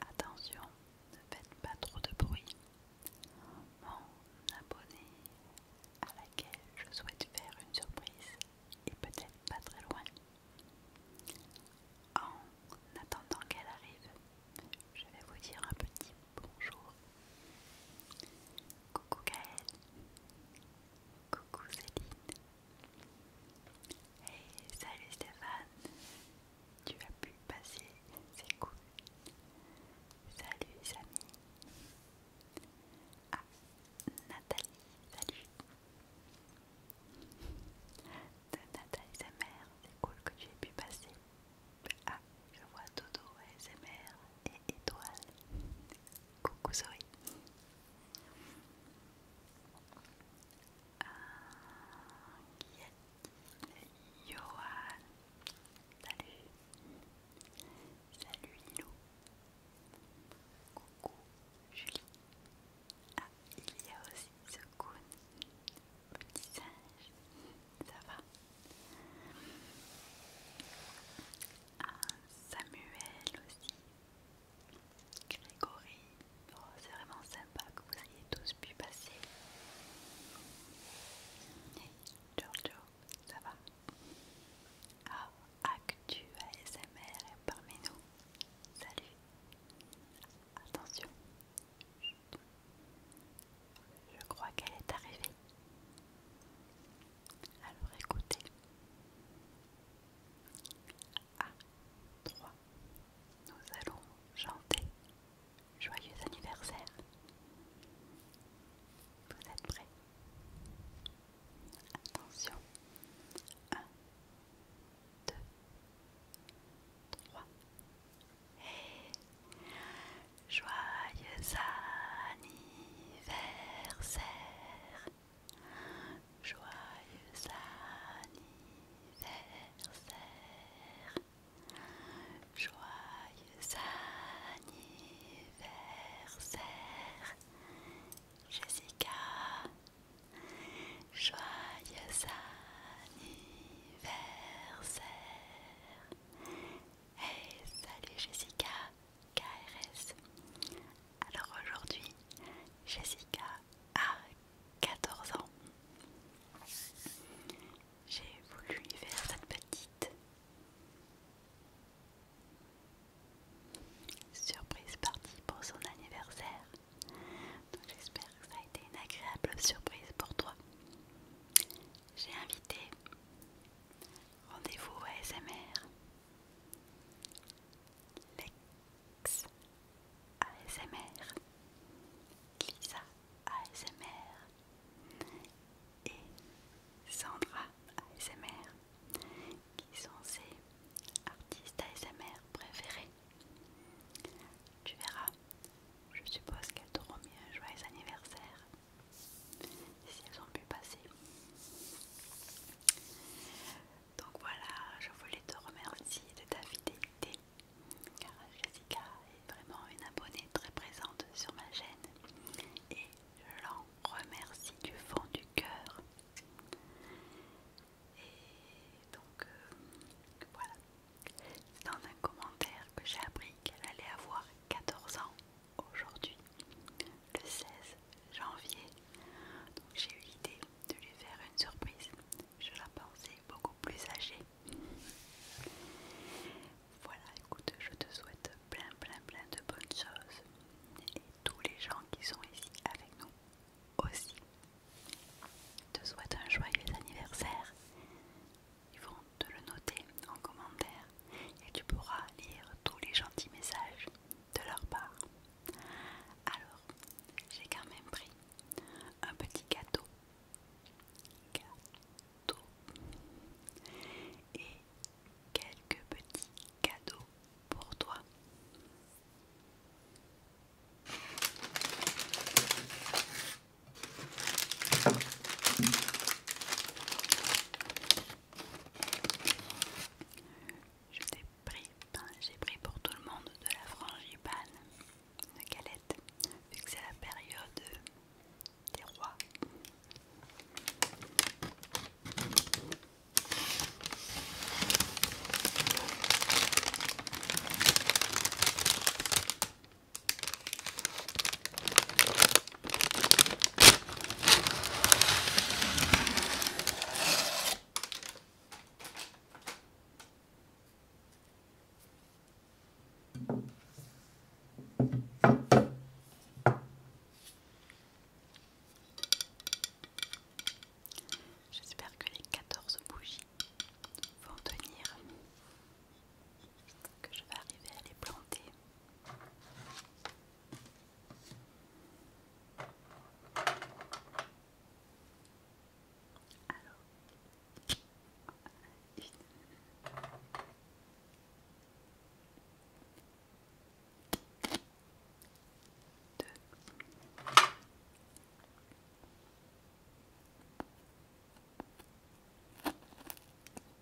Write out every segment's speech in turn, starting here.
Attention, ne faites pas trop de bruit. Mon abonné à laquelle je souhaite faire une surprise est peut-être pas très loin. En attendant qu'elle arrive, je vais vous dire un petit bonjour. Coucou Gaëlle. Coucou Céline. Hey, salut Stéphane. Tu as pu passer, c'est cool. Salut Samy. Ah, Nathalie, salut. De Nathalie, sa mère, c'est cool que tu aies pu passer. Ah, je vois Dodo, Smr et Étoile. Coucou Zoé. Ah, qui est Johan. Salut. Salut Ilou. Coucou Julie. Ah, il y a aussi ce Petit singe ça va ah, Samuel aussi, Grégory, oh, c'est vraiment sympa que vous ayez tous pu passer. Hey, Giorgio, ça va Ah, Actu ASMR est parmi nous. Salut Attention, je crois qu'elle est arrivée. Alors écoutez. À 3. Nous allons chanter Joyeux anniversaire. Vous êtes prêts Attention. 1, 2, 3 joyeux anniversaire. Joyeux anniversaire. Joyeux anniversaire. Jessica. Joyeux anniversaire. Hey, salut Jessica, KRS. Alors aujourd'hui, Jessica a 14 ans. J'ai voulu lui faire cette petite surprise partie pour son anniversaire. Donc j'espère que ça a été une agréable surprise pour toi j'ai invité Rendez-vous ASMR, Lex ASMR, Lisa ASMR et Sandra ASMR qui sont ses artistes ASMR préférés. Tu verras, je suppose qu'elles t'auront mis un joyeux anniversaire si elles ont pu passer. Donc voilà, je voulais te remercier de ta fidélité car Jessica est vraiment une abonnée très présente sur ma chaîne et je l'en remercie du fond du cœur. Et donc euh, voilà, c'est dans un commentaire que j'ai appris qu'elle allait avoir 14 ans aujourd'hui, le 16 janvier. Donc j'ai eu l'idée de lui faire une surprise. Je la pensais beaucoup plus âgée. Voilà, écoute, je te souhaite plein, plein, plein de bonnes choses. Et tous les gens qui sont ici avec nous aussi. Je te souhaite un joyeux anniversaire. Ils vont te le noter en commentaire et tu pourras lire tous les gentils messages de leur part. Alors, j'ai quand même pris un petit gâteau. Gâteau. Et quelques petits cadeaux pour toi. Je pris, ben, j'ai pris pour tout le monde de la frangipane, de galette, vu que c'est la période des rois. J'espère que les 14 bougies vont tenir que je vais arriver à les planter. Alors, deux.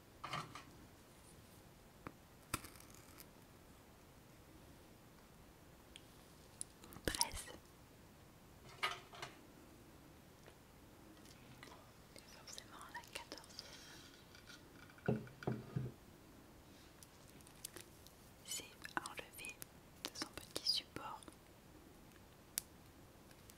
C'est Forcément la C'est enlever de son petit support.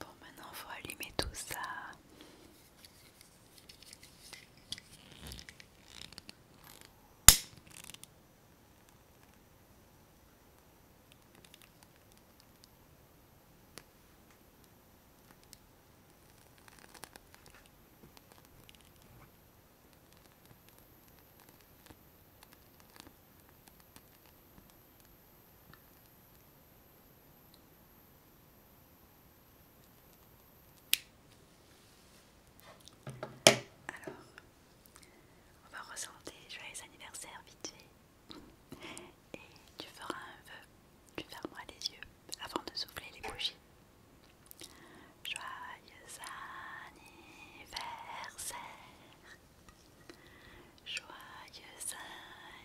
Bon, maintenant faut allumer tout ça. Alors, on va ressentir joyeux anniversaire vite fait. Et tu feras un vœu, tu fermeras les yeux avant de souffler les bougies. Joyeux anniversaire, Joyeux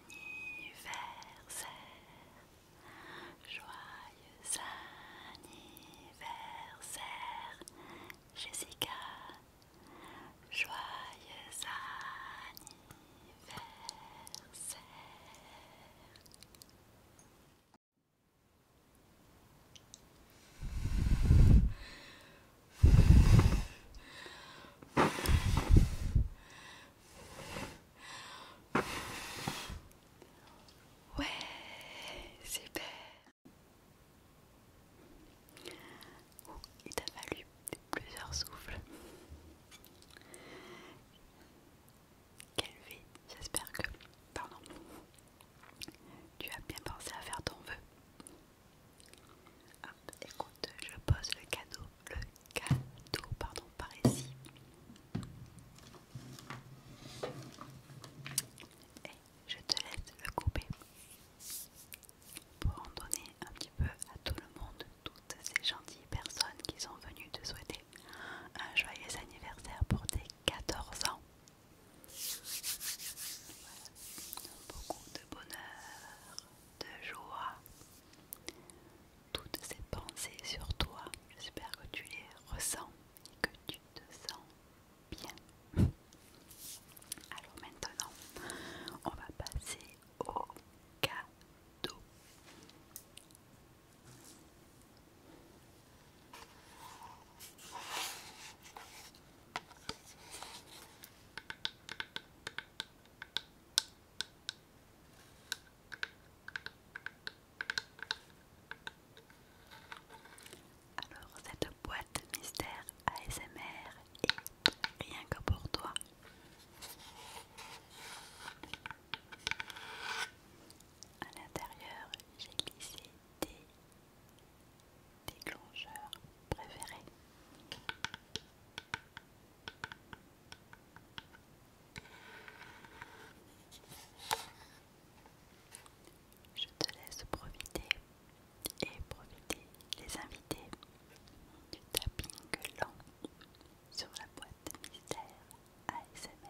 anniversaire, joyeux anniversaire, Jessica, joyeux anniversaire. Ouais, super. il t'a fallu plusieurs souffles. Quelle vie, j'espère que... Pardon. Tu as bien pensé à faire ton vœu écoute, je pose le cadeau, le cadeau, pardon, par ici. Et je te laisse le couper pour en donner un petit peu à tout le monde, toutes ces gentilles personnes qui sont venues te souhaiter un joyeux anniversaire pour tes 14 ans. Voilà. Beaucoup de bonheur, de joie, toutes ces pensées sur toi. J'espère que tu les ressens et que tu te sens bien. Alors maintenant, on va passer au cadeau. Alors cette boîte mystère ASMR est rien que pour toi. À l'intérieur, j'ai glissé des déclencheurs préférés. Je te laisse profiter et profiter les invités du tapping lent sur la boîte mystère ASMR.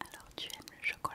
Alors tu aimes le chocolat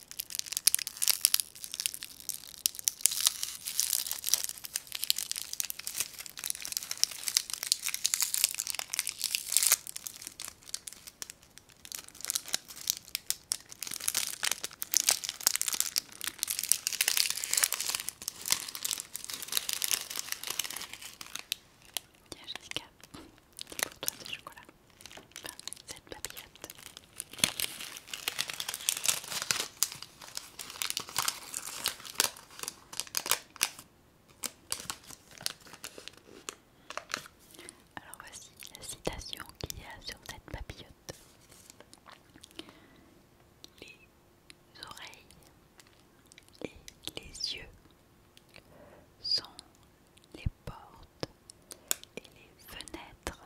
Tiens Jessica, c'est pour toi ce chocolat cette Alors voici la citation qu'il y a sur cette papillote. Les oreilles et les yeux sont les portes et les fenêtres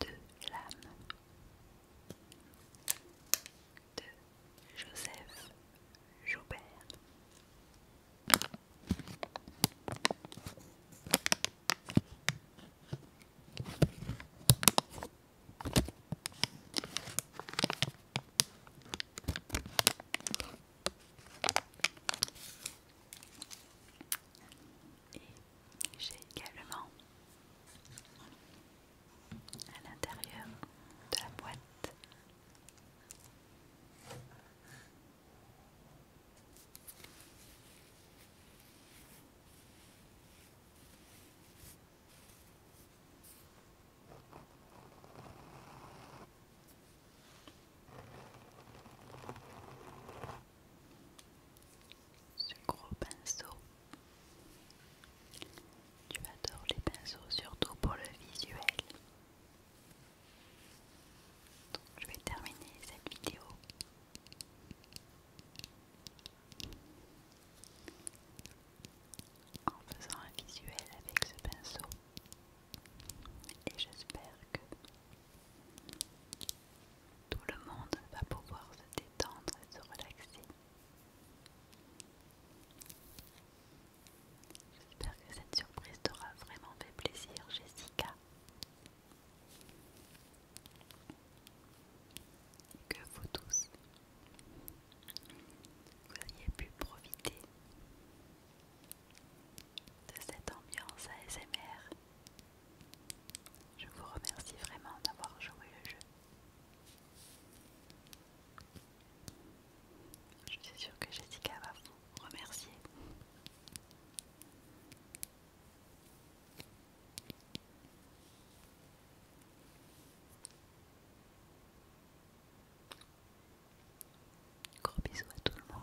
de l'âme de Joseph Joubert. Et j'ai également à l'intérieur de la boîte ce gros pinceau. Tu adores les pinceaux, surtout pour le visuel. Donc je vais terminer cette vidéo en faisant un visuel avec ce pinceau. Et j'espère que tout le monde va pouvoir se détendre et se relaxer. J'espère que cette surprise t'aura vraiment fait plaisir, Jessica. Et que vous tous, vous ayez pu profiter de cette ambiance ASMR. Je vous remercie vraiment d'avoir joué le jeu. Je suis sûre que Jessica va vous remercier. Gros bisous à tout le monde.